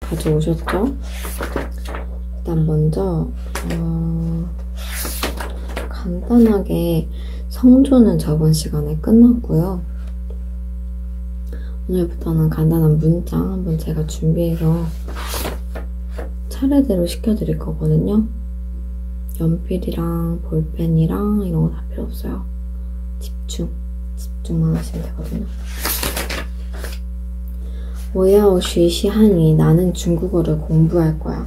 가져오셨죠? 일단 먼저 어, 간단하게 성조는 저번 시간에 끝났고요. 오늘부터는 간단한 문장 한번 제가 준비해서 차례대로 시켜드릴 거거든요. 연필이랑 볼펜이랑 이런 거 다 필요 없어요. 집중, 집중만 하시면 되거든요. 我要 쉬시 한위 나는 중국어를 공부할 거야.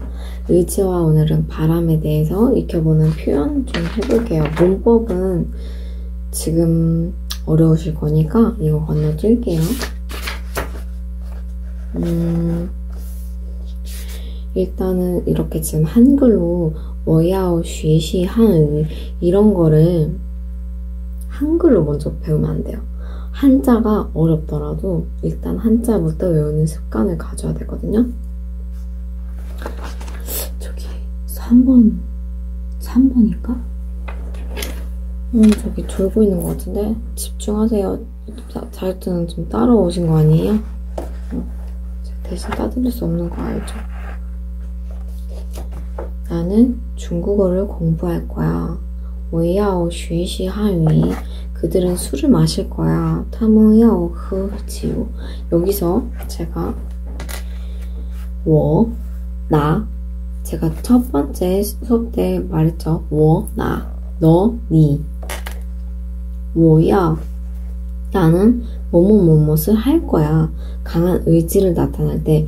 의지와 오늘은 바람에 대해서 익혀보는 표현 좀 해볼게요. 문법은 지금 어려우실 거니까 이거 건너뛸게요. 음, 일단은 이렇게 지금 한글로 워야오 쉬시 한의 이런 거를 때는 한글로 먼저 배우면 안 돼요. 한자가 어렵더라도 일단 한자부터 외우는 습관을 가져야 되거든요. 저기 3번, 3번인가? 음, 저기 졸고 있는 것 같은데 집중하세요. 자유투는 좀 따라오신 거 아니에요? 음, 대신 따드릴 수 없는 거 알죠? 나는 중국어를 공부할 거야. 我要学习汉语. 그들은 술을 마실 거야. 他们要喝酒. 여기서 제가 我,나 제가 첫 번째 수업 때 말했죠. 我, 나, 너, 니. 我要 나는 뭐뭐뭐뭇을 할 거야. 강한 의지를 나타낼 때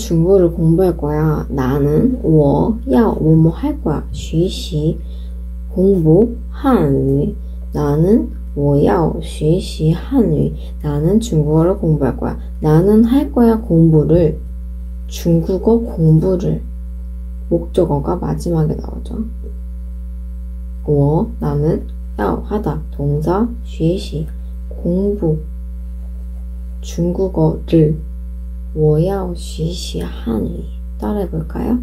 나는 중국어를 공부할 거야. 나는 我要뭐뭐 할 거야. 学习 공부 汉语 나는 我要学习 한유 나는 중국어를 공부할 거야. 나는 할 거야 공부를 중국어 공부를 목적어가 마지막에 나오죠. 我 나는 要 하다 동사 学习 공부 중국어를 我要学习 한유 따라해 볼까요?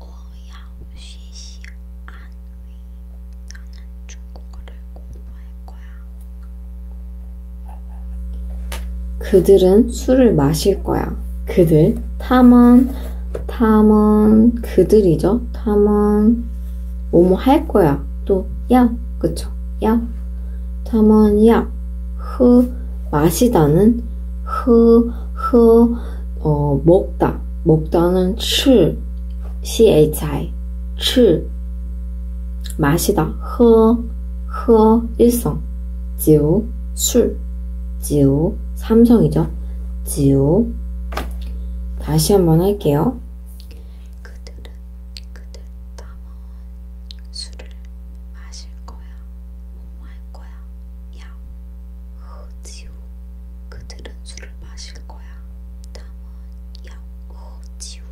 我要学习汉语나는 중국어를 공부할 거야. 그들은 술을 마실 거야. 그들, 탐은, 탐은, 그들이죠. 탐은, 뭐뭐 할 거야. 또, 야, 그쵸? 야. 다만, 야, 흐, 마시다는 흐, 흐, 어, 먹다. 먹다는 吃, chi, 吃. 마시다, 허, 허, 일성. 지우, 술. 지우, 삼성이죠. 지우. 다시 한번 할게요. 그들은 그들 담아온 술을 마실 거야, 못마할 거야, 야, 허지우. 그들은 술을 마실 거야, 담아온 야, 허지우.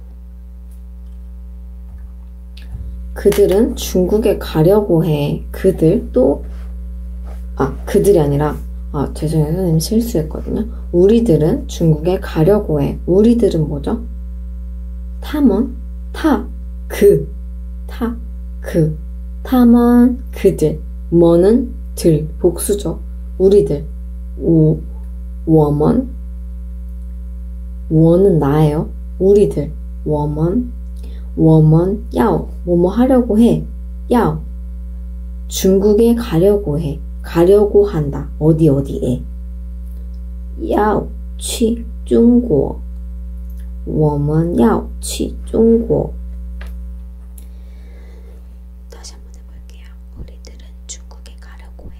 그들은 중국에 가려고 해. 그들 또, 아, 그들이 아니라 아, 죄송해요. 선생님 실수했거든요. 우리들은 중국에 가려고 해. 우리들은 뭐죠? 탐원? 타, 그. 타, 그. 탐원, 그들. 뭐는 들. 복수죠. 우리들. 우, 워먼. 워는 나예요. 우리들. 워먼. 워먼, 야오. 뭐뭐 하려고 해. 야, 중국에 가려고 해. 가려고 한다. 어디 어디에. 야, 去中国我们要去中国 다시 한번 해볼게요. 우리들은 중국에 가려고 해.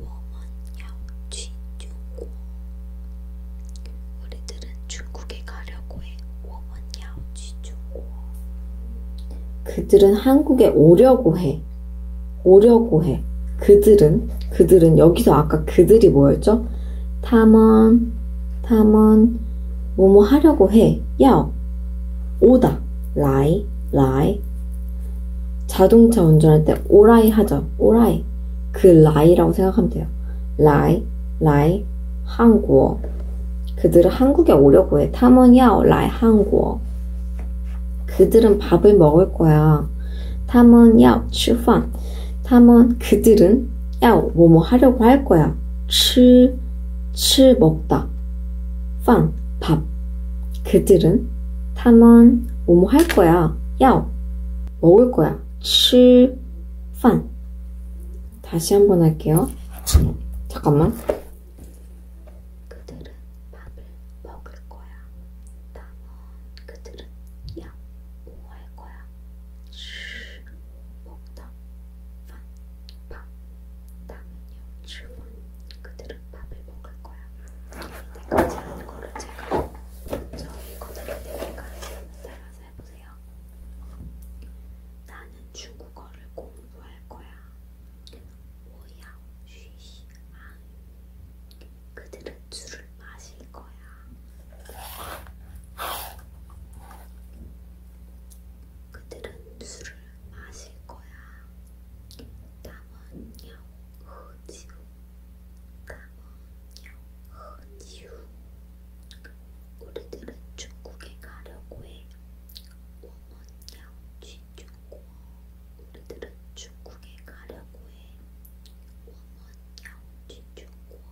我们要去中国. 우리들은 중국에 가려고 해. 我们 뭐, 그들은 한국에 오려고 해. 오려고 해. 그들은 그들은 여기서 아까 그들이 뭐였죠? 탐험 탐험 뭐뭐 하려고 해. 야 오다 라이 라이 자동차 운전할 때 오라이 하죠. 오라이 그 라이라고 생각하면 돼요. 라이 라이 한국어 그들은 한국에 오려고 해. 타먼야 라이 한국. 그들은 밥을 먹을 거야. 타먼야 추판. 타먼 그들은 야 뭐뭐 하려고 할 거야. 치, 치 먹다. 판 밥. 그들은 타먼 뭐뭐 할 거야. 야 먹을 거야. 치, 판. 다시 한번 할게요. 잠깐만. 그들은 밥을 먹을 거야. 남은 그들은 양 우할 거야. 슈 먹다 밥 남은요 주문 그들은 밥을 먹을 거야. 이때까지 하는 거를 제가 먼저 읽어드릴 테니까 따라서 해보세요. 나는 중국어를 공부할 거야. 오야쉬시 아 그들은 술을 마실 거야. 그들은 술을 마실 거야. 담원영 허지우 담원영 허지우 우리들은 중국에 가려고 해. 중국 원양 쥐중국 우리들은 중국에 가려고 해 원양 쥐중국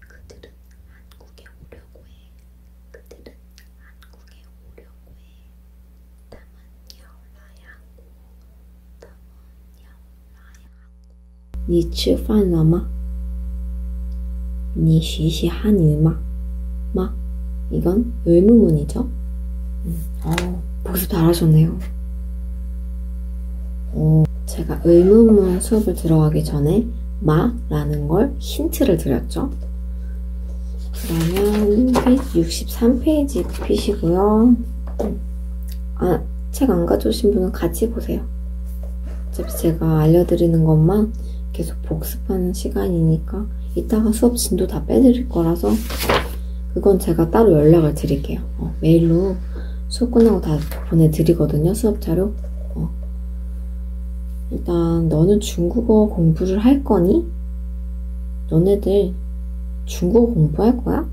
그들은 한국에 오려고 해 그들은 한국에 오려고 해 다만 야라야 하고 다만 야라야 하고 你吃饭了吗？你学习汉语吗？막 이건 의무문이죠. 음, 어, 복습 잘하셨네요. 어, 제가 의무문 수업을 들어가기 전에 마라는 걸 힌트를 드렸죠. 그러면 페이지 63페이지 펴시고요. 음. 아, 책 안 가져오신 분은 같이 보세요. 어차피 제가 알려드리는 것만 계속 복습하는 시간이니까 이따가 수업 진도 다 빼드릴 거라서 그건 제가 따로 연락을 드릴게요. 어, 메일로 수업 끝나고 다 보내드리거든요. 수업 자료. 어. 일단 너는 중국어 공부를 할 거니? 너네들 중국어 공부할 거야?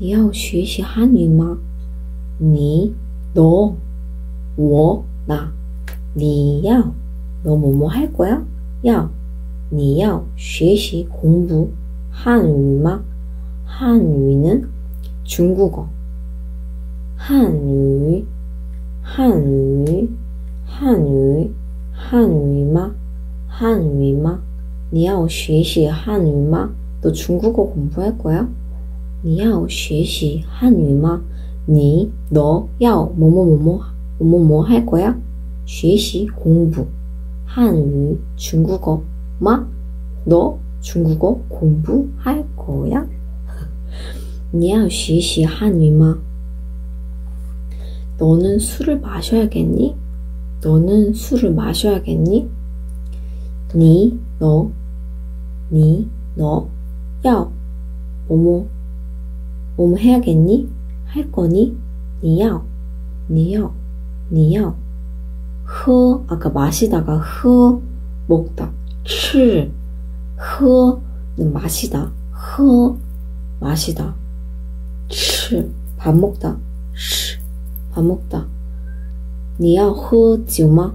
你要学习汉语吗？你 너, 워, 나. 니要, 너 뭐뭐 할 거야? 要,你要学习 공부. 한유막 한유는 중국어. 한유, 한유, 한유, 한유막, 한유막. 你要学习汉语吗？너 중국어 공부할 거야? 你要学习汉语吗？ 你너要 뭐뭐뭐뭐 뭐뭐뭐 할 거야? 学习 공부 한유 중국어 마 너 중국어 공부할 거야? 你要学习 한유吗? 너는 술을 마셔야겠니? 너는 술을 마셔야겠니? 니, 너, 니, 너, 야, 뭐뭐, 뭐뭐 해야겠니? 할 거니? 니야, 니야, 니야. 허, 아까 마시다가 허, 먹다, 치, 허는 마시다, 허, 마시다, 치, 밥 먹다, 치, 밥 먹다. 你要喝酒吗？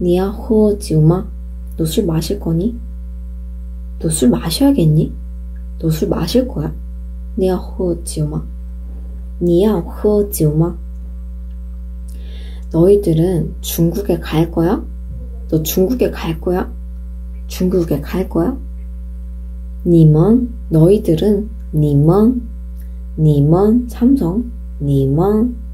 니아호지우마, 너 술 마실 거니? 너 술 마셔야겠니? 너 술 마실 거야? 니아호지우마, 니아호지우마. 너희들은 중국에 갈 거야? 너 중국에 갈 거야? 중국에 갈 거야? 니먼, 너희들은 니먼, 니먼, 삼성, 니먼,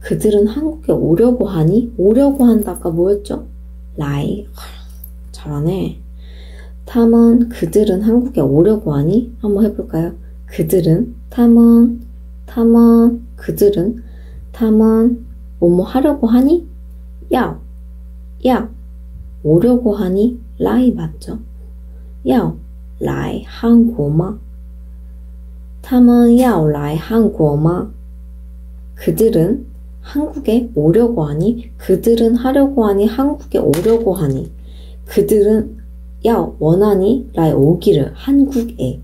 그들은 한국에 오려고 하니? 오려고 한다가 뭐였죠? 라이. 잘하네. 탐은 그들은 한국에 오려고 하니? 한번 해볼까요? 그들은 탐은 탐은 그들은 탐은 뭐뭐 하려고 하니? 야. 야. 오려고 하니? 라이 맞죠? 야. 라이 한국마. 他们要来韩国吗？ 그들은 한국에 오려고 하니 그들은 하려고 하니 한국에 오려고 하니 그들은 야 원하니 라이 오기를 한국에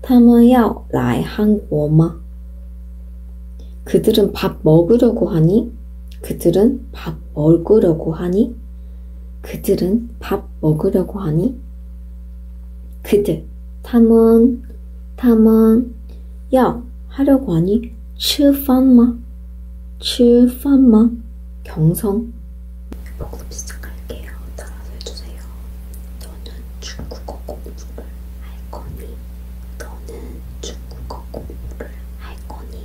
他们要来 한국마 그들은 밥 먹으려고 하니 그들은 밥 먹으려고 하니 그들은 밥 먹으려고 하니 그들, 타먼, 타먼, 야, 하려고 하니, 吃饭吗?吃饭吗? 경성. 복습 시작할게요. 따라서 해주세요. 너는 중국어 공부를 할 거니? 너는 중국어 공부를 할 거니?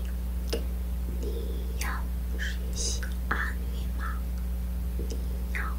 你要学习汉语吗？你要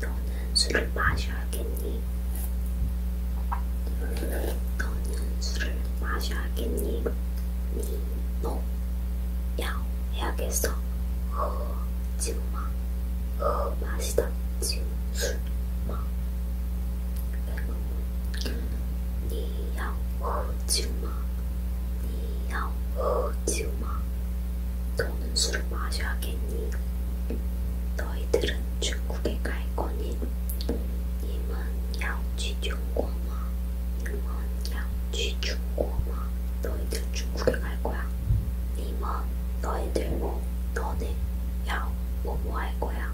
너는 술을 마셔야겠니? 너는 술을 마셔야겠니? 니, 노, 야, 해야겠어. 허, 지우마. 허, 마시다. 지우, 술, 마. 니, 야, 허, 지우마. 니, 야, 허, 지우마. 너는 술을 마셔야겠니? 너희들은 중국에 갈 거니? 你们要去中国吗?你们要去中国吗? 너희들 중국에 갈 거야. 你们 너희들 너네 要 뭐뭐 할 거야?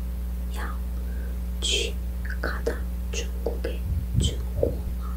要去 가다 중국에 중국마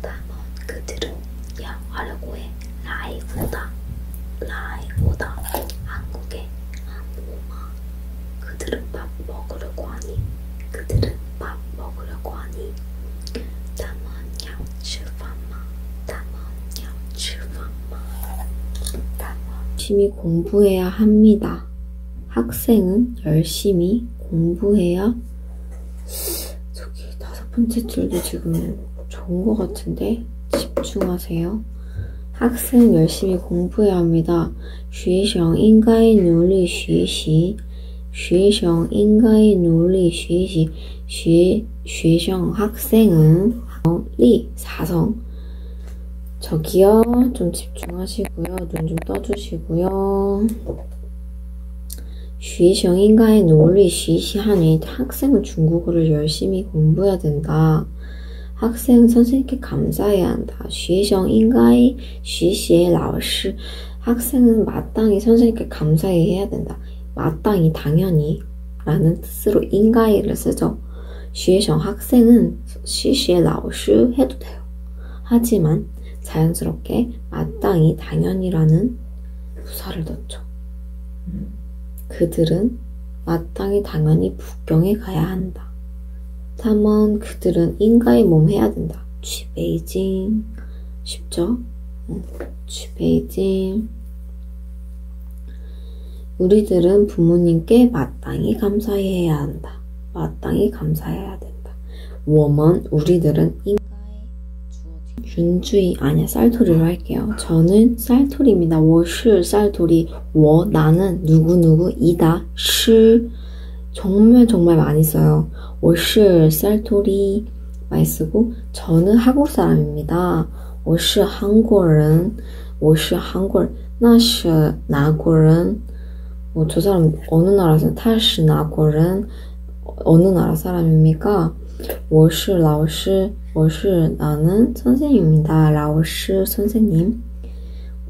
다만 그들은 영화라고의 라이브다, 라이브다, 한국의 한국마. 그들은 밥 먹으려고 하니, 그들은 밥 먹으려고 하니. 다만 양치방마, 다만 양치방마. 다만 심히 공부해야 합니다. 학생은 열심히 공부해야 저기 다섯 번째 줄도 지금 좋은 것 같은데 집중하세요. 학생은 열심히 공부해야 합니다. 学生应该努力学习.学生应该努力学习.学学生 학생은 리 사성 저기요 좀 집중하시고요. 눈 좀 떠주시고요. 学习应该 논리 学习汉语 학생은 중국어를 열심히 공부해야 된다. 학생 선생님께 감사해야 한다. 学习应该学习老师 학생은 마땅히 선생님께 감사해야 된다. 마땅히 당연히 라는 뜻으로 인가이를 쓰죠. 学生 학생은 学习老师 해도 돼요. 하지만 자연스럽게 마땅히 당연이라는 부사를 넣죠. 그들은 마땅히 당연히 북경에 가야 한다. 다만 그들은 인가의 몸 해야 된다. 취베이징 쉽죠? 취베이징 우리들은 부모님께 마땅히 감사해야 한다. 된다. 마땅히 감사해야 된다. 워먼 우리들은 인간의 준주의 아니야 쌀토리로 할게요. 저는 쌀토리입니다. 워슈 쌀토리 워 나는 누구누구이다 시 정말 정말 많이 써요. 워슈 쌀토리 많이 쓰고 저는 한국 사람입니다. 我是 한국인 我是韩国人那是哪国人 뭐저 사람 어느 나라 사람? 타시 나고는 어느 나라 사람입니까? 我是 라오시, 我是 나는 선생님입니다. 라오시 선생님.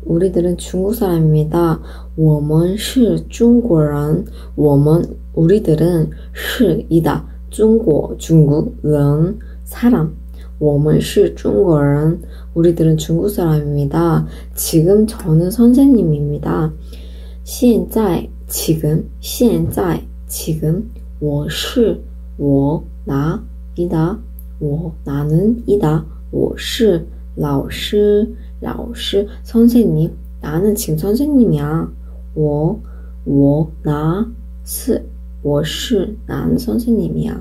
우리들은 중국 사람입니다. 我们是 중국인. 我们 우리들은 是이다. 중국 중국 人 사람. 我们是中国人. 우리들은 중국 사람입니다. 지금 저는 선생님입니다. 现在 지금 现在 지금 我是我나 이다 我 나는 이다 我是老师老师 선생님 나는 지금 선생님이야. 我我나是我是 나는 선생님이야.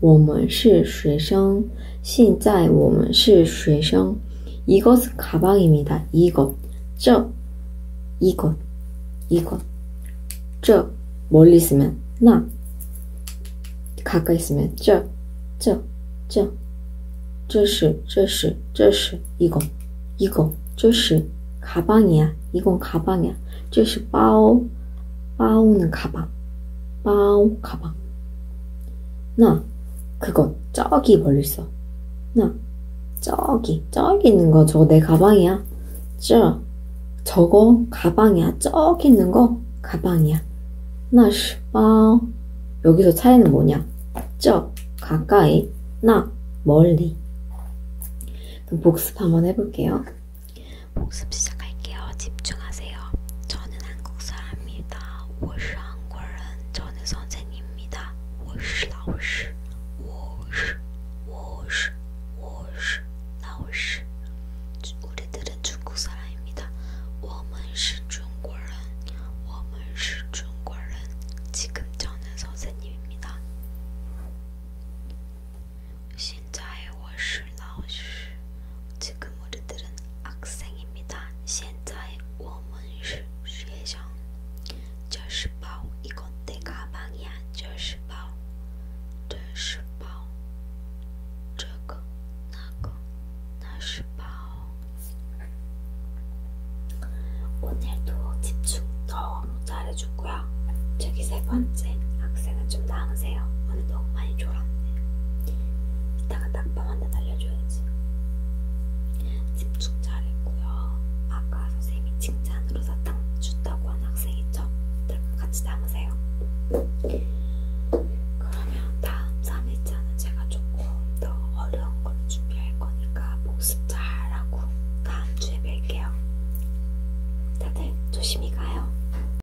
我们是学生，现在我们是学生。이것是가방입니다이거저이거이거저멀리있으면나가까이있으면저저저这是这是这是一个一个这是가방이야이건가방이야这是包包는가방包가방 나, 그거, 저기 멀리 있어. 나, 저기, 저기 있는 거, 저거 내 가방이야. 저, 저거 가방이야. 저기 있는 거 가방이야. 나, 슈퍼. 아, 여기서 차이는 뭐냐? 저, 가까이. 나, 멀리. 그럼 복습 한번 해볼게요. 복습 시작할게요. 집중하세요. 저는 한국 사람입니다. 我是한국인. 저는 선생님입니다. 我是老师.我是我是我是老师. 우리들은 중국 사람입니다. 我们是中国人.我们是中国人. 지금 저는 선생님입니다. 现在我是 슐라우슈 지금 우리들은 학생입니다. 现在我们是学生.这是包 이건 내 가방이야. 这是包这是包这个那个那是包 오늘도 집중 너무 잘해줬고요. 저기 세 번째 학생은 좀 나으세요. 오늘 너무 많이 졸았네. 이따가 딱밤한테 날려줘야지. 집중 잘했고요. 아까 선생님이 칭찬으로 사탕 줬다고 한 학생 있죠? 같이 담으세요. 그러면 다음 3일차는 제가 조금 더 어려운 걸 준비할 거니까 복습 잘하고 다음 주에 뵐게요. 다들 조심히 가요.